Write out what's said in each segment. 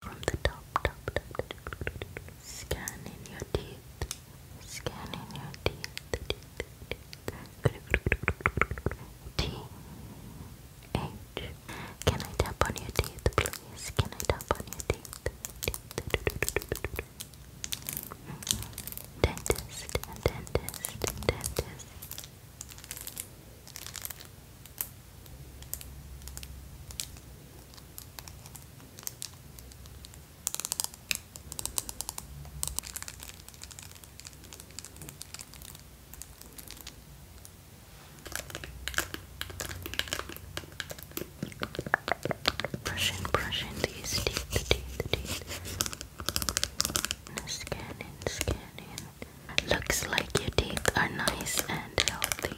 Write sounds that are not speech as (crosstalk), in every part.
from the top, top, top, scan in your teeth, scan your teeth, T H. Can I tap on your teeth, please? Can I tap on your teeth? Dentist, dentist, dentist. Brushing, brushing these teeth, the teeth, the teeth. Scanning, scanning. Looks like your teeth are nice and healthy.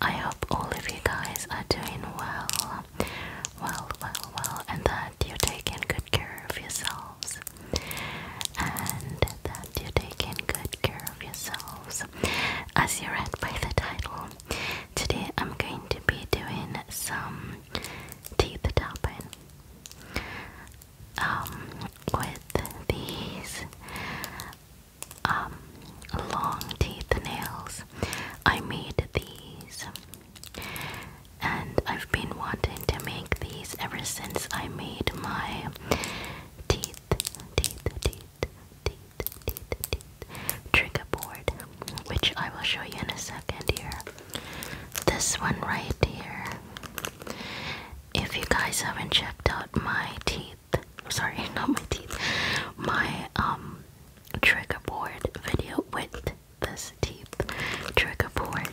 I hope all of you guys are doing well, well, well, well, and that you're taking good care of yourselves, and that you're taking good care of yourselves. As you read by the title, today I'm going to be doing some teeth tapping. Um, with these um, long teeth nails, I made these, and I've been wanting to make these ever since I made my teeth, teeth, teeth, teeth, teeth, teeth trigger board which I will show you in a second here. This one right here. If you guys haven't checked out my teeth, sorry, (laughs) not my teeth, my um trigger board video with this teeth trigger board,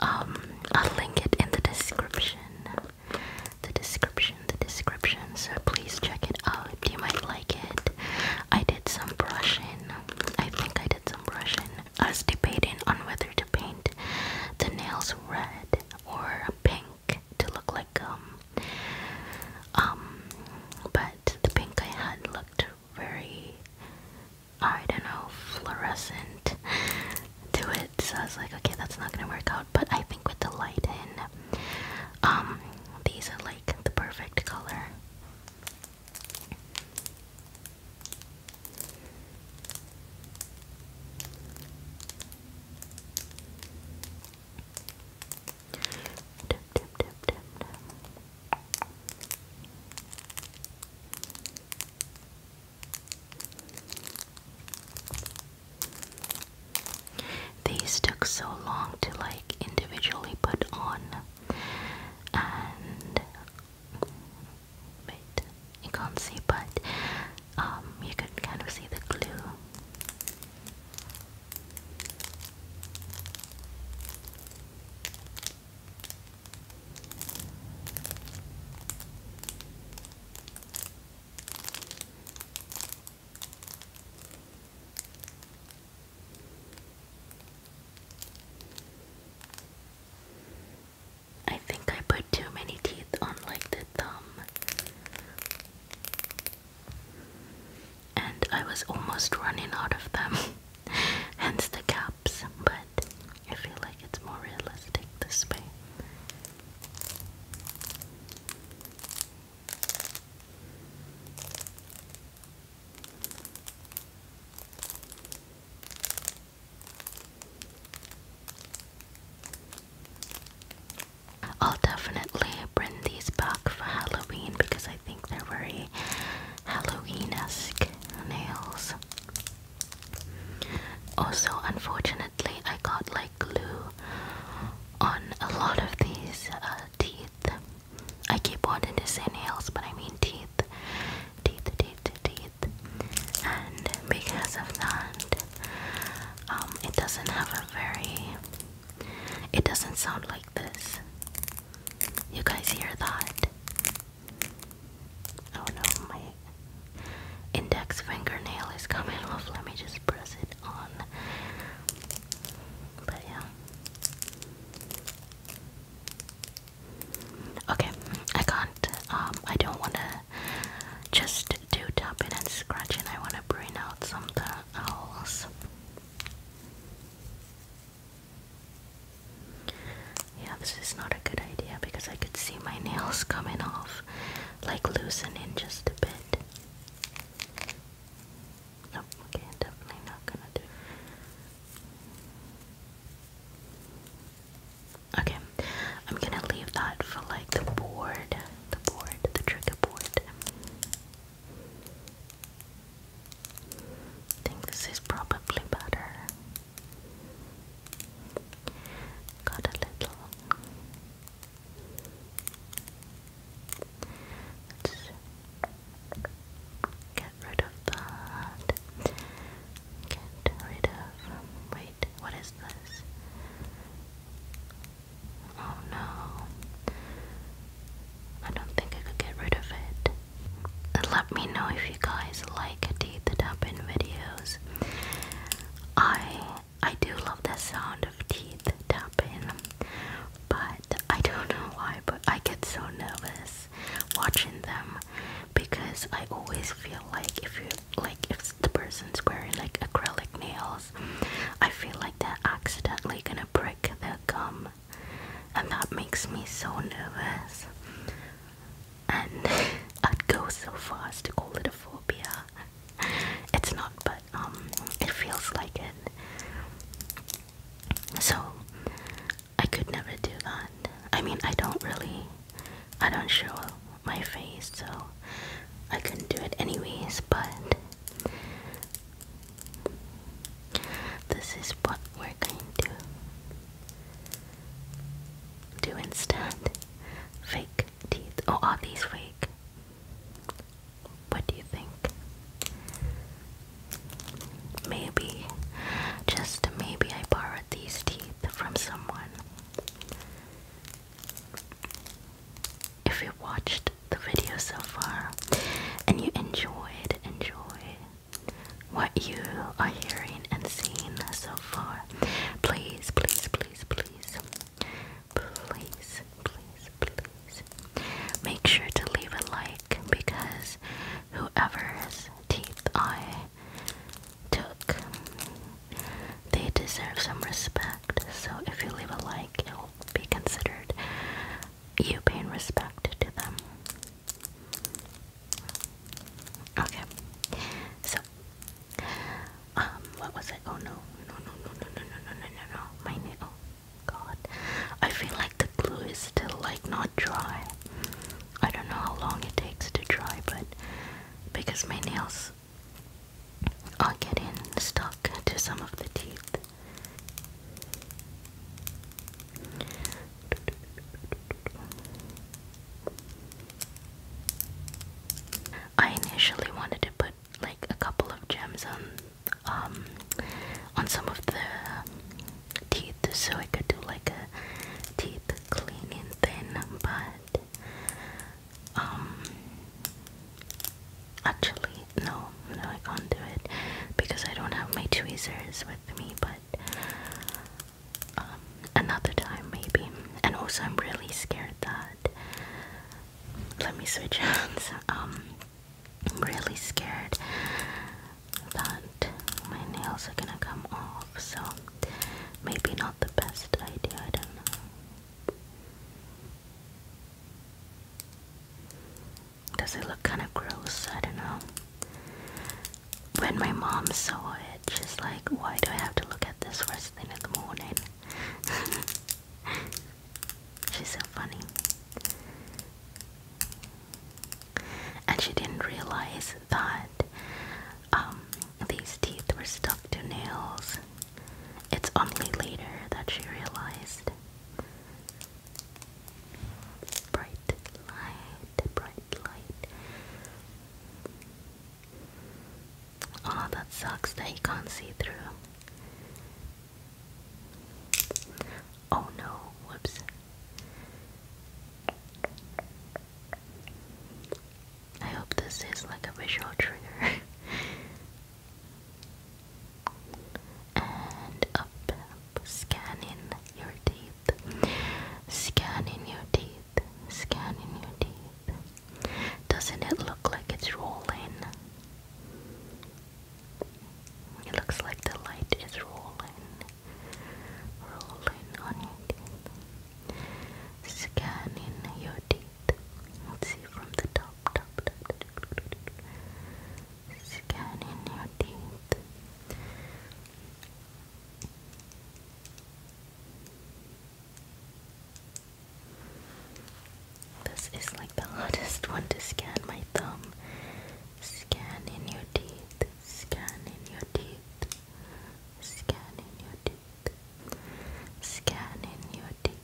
um, I'll link it in the description. The description, the description. So please check it out. You might like it. I did some brushing. I think I did. I was debating on whether to paint the nails red or pink to look like gum. Um, but the pink I had looked very, I don't know, fluorescent to it. So I was like, okay, that's not gonna work out. But I think with the light in, um, these are like the perfect color. Dip, dip, These took so long to like individually put on, Wait, you can't see, but um, you can kind of see the glue. I think I put too many teeth on like the thumb. And I was almost running out of them, (laughs) hence the caps, but I feel like it's more realistic this way. I'll definitely bring these back for Halloween because I think they're very Halloween-esque nails. Also, unfortunately, I got like glue on a lot of these uh, teeth I keep wanting to say nails, but I mean teeth. Teeth, teeth, teeth. And because of that, um, it doesn't have a very. It doesn't sound like this. You guys hear that? Oh no, my index fingernail is coming off. Let me just press it on. But yeah. Okay, I can't, um, I don't want to just do tapping and scratching, I want to bring out something else. Yeah, this is not a good idea because I could see my nails coming off, like loosening just a bit. Nope, okay, definitely not gonna do Okay, I'm gonna leave that for like the board, the board, the trigger board. I think this is probably better. Got a little rid of that. Get rid of. wait, what is this? Oh no. I don't think I could get rid of it. let me know if you guys like teeth up videos. I I do love the sound of teeth tapping, but I don't know why, but I get so nervous watching them because I always feel like if you like if the person's wearing like acrylic nails, I feel like they're accidentally gonna break their gum, and that makes me so nervous. And (laughs) I'd go so far as to call it a phobia. It's not, but um, it feels like it. So I could never do that. I mean, I don't really, I don't show my face, so I couldn't do it anyways, but this is what we're going to do instead. Fake teeth. Oh, are these fake? What do you think? Maybe, just maybe, I borrowed these teeth from someone. If you watched the video so far and you enjoyed, enjoy what you are hearing and seeing so far, please, please, please, please, please, please, please, make sure to leave a like because whoever's teeth I took. They deserve some respect, so if you leave a like, it will be considered you paying respect to them. Okay, so, um, what was it? Oh no, no, no, no, no, no, no, no, no, no, my nail. God, I feel like the glue is still like not dry. I don't know how long it takes to dry, but because my nails are getting stuck to some of the teeth. I initially wanted to put like a couple of gems on um, on some of the teeth, so I could do like a teeth cleaning thing, but um actually no, no I can't do it because I don't have my tweezers with me but um another time maybe. And also I'm really scared that let me switch (laughs) hands. Um I'm really scared that my nails are gonna come off, so maybe not the best idea, I don't know. Does it look kind of gross? I don't know. When my mom saw it, she's like, Why do I have to look at this first thing in the morning? (laughs) she's so funny and she didn't realize that um, these teeth were stuck to nails. It's only later that she realized. Bright light, bright light. Oh, that sucks that you can't see through. Oh no, whoops. I hope this is like a visual trigger. (laughs) and up, scanning your teeth, scanning your teeth, scanning your teeth. Doesn't it look like it's rolling? It looks like the light is rolling rolling on your scanning your teeth. Let's see from the top, scanning your teeth. This is like the hardest (laughs) one to scan my thumb. Scan your teeth. Scanning your teeth. Scanning your teeth. Scanning your teeth.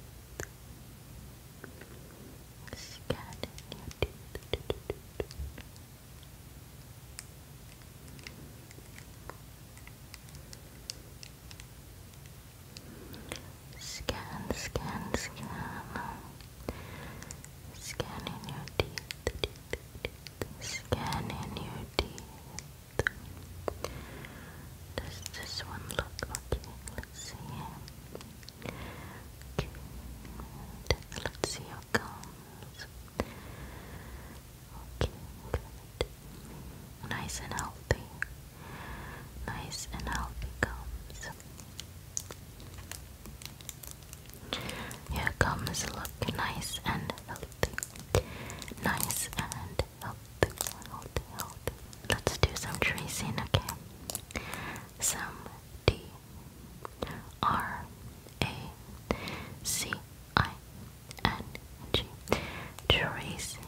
Scanning your teeth. Scan, scan, scan. Scanning your Teeth, teeth, teeth, Scan in your teeth. Does this one look okay? Let's see Okay. Let's see your gums. Okay, good. Nice and healthy. Nice and healthy gums. Your gums look nice and healthy. Nice and healthy. Healthy, healthy. Let's do some tracing, okay? Some D R A C I N G. Tracing.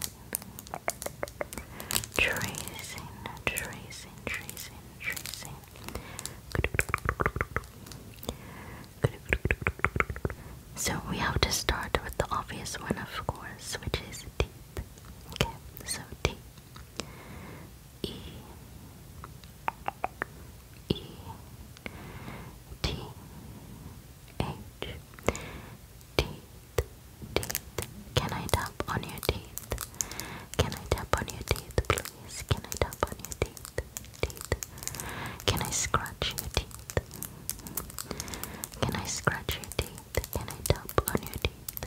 Tracing, tracing, tracing, tracing. So we have to start with the obvious one, of course, which is teeth. Okay, so T E E T H teeth teeth. Can I tap on your teeth? Can I tap on your teeth, please? Can I tap on your teeth? teeth? Can I scratch your teeth? Can I scratch your teeth? Can I tap on your teeth?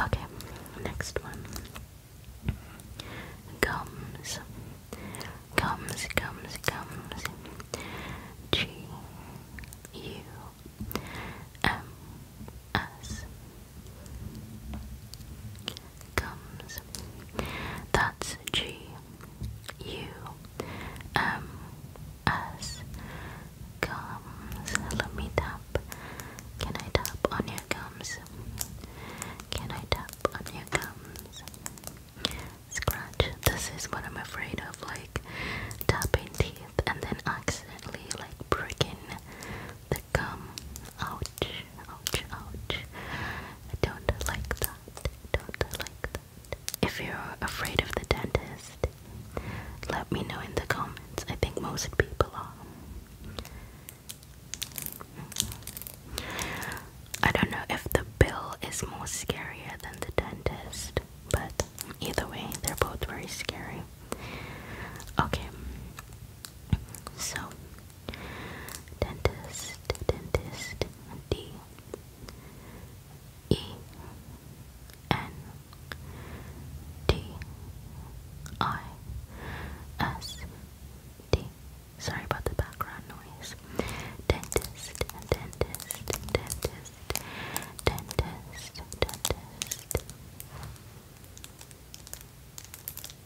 Okay, next one. Gums. Gums, gums, gums. G U M S comes. That's G U M S gums. Let me tap. Can I tap on your gums? Can I tap on your gums? Scratch. This is what I'm afraid of, like tapping teeth and then accidentally like breaking the gum. Ouch, ouch, ouch. I don't like that. Don't like that. If you're afraid of the dentist, let me know in the comments. I think most people are. I don't know if the bill is more scarier than the dentist, but either way, they're both very scary. Okay, so Dentist, dentist, D E N T I S D. Sorry about the background noise. Dentist, dentist, dentist, dentist, dentist.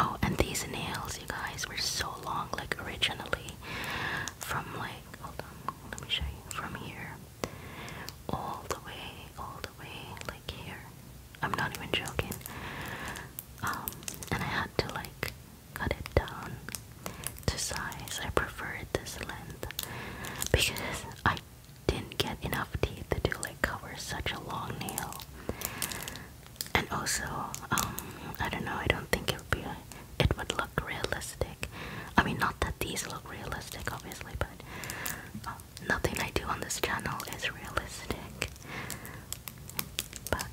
Oh, and these nails, you guys, were so long, like originally, from like, hold on, let me show you, from here, all the way, all the way, like here. I'm not even joking. Um, and I had to like cut it down to size. I preferred this length because I didn't get enough teeth to like cover such a long nail. And also, um, I don't know, I don't think it would be, it would look realistic. I mean, not that these look realistic, obviously, but um, nothing I do on this channel is realistic. But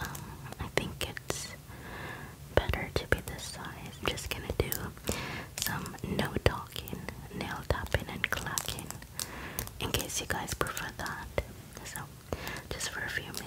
um, I think it's better to be this size. I'm just gonna do some no talking, nail tapping, and clacking in case you guys prefer that. So, just for a few minutes.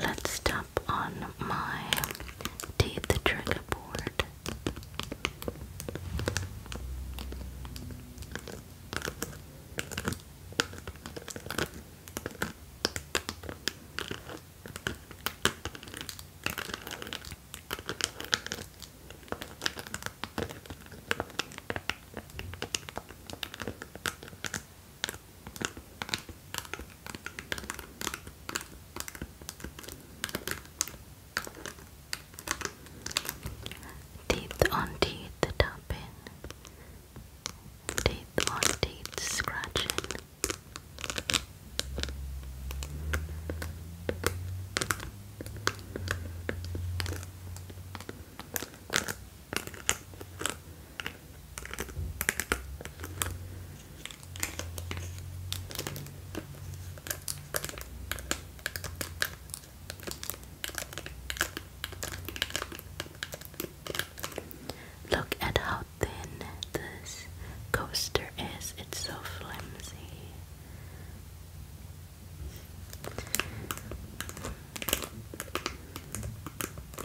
Let's stop on my tape trigger board. Teeth on teeth tapping, teeth on teeth scratching. Look at how thin this coaster is, it's so flimsy.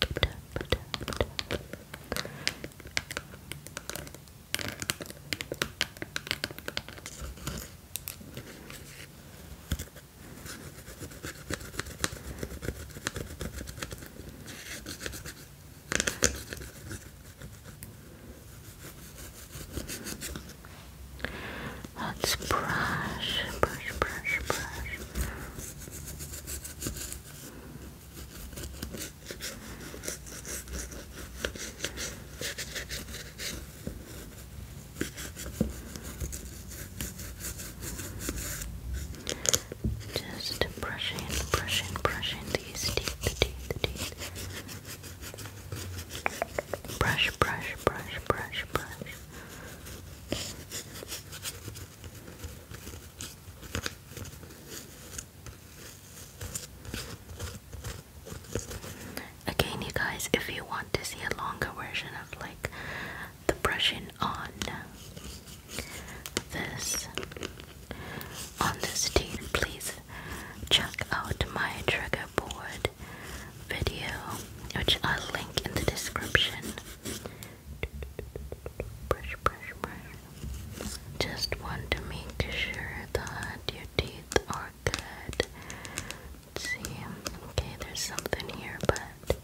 tap, tap, tap, tap. Let's brush, brush, brush, brush. Just brushing, brushing, brushing these teeth, the teeth, the teeth. Brush, brush, brush, brush, brush. Again, you guys, if you want to see a longer version of like the brushing on this on this team, please check out my trigger board video, which I'll link in the description brush, brush, brush. Just want to make sure that your teeth are good. see, okay, there's something here, but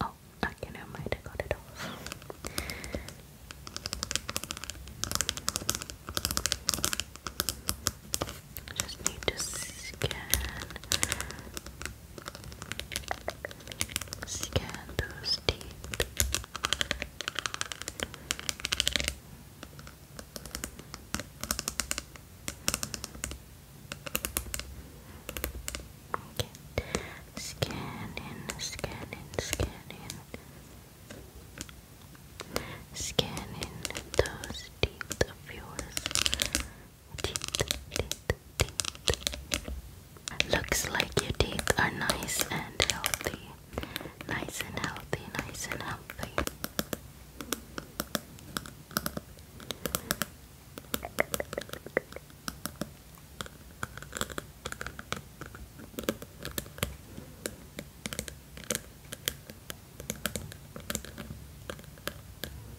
oh, okay, never mind, I got it off. Just need to scan Scan those deep. Okay. Scan in, scan those teeth of yours. Looks like your teeth are nice and healthy. Nice and healthy, nice and healthy.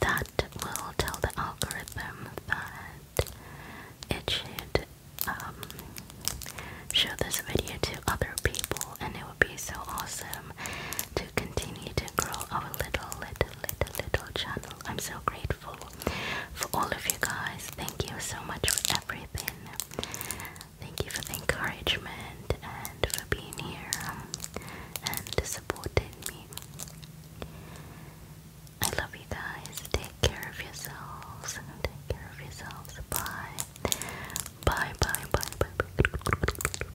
that will tell the algorithm that it should um, show this video to other people, and it would be so awesome to continue to grow our little, little, little, little channel. I'm so grateful for all of you guys. Thank you so much for everything. Thank you for the encouragement and for being here and supporting me. I love you guys. Take care of yourselves. Take care of yourselves. Bye. Bye, bye, bye, bye. bye.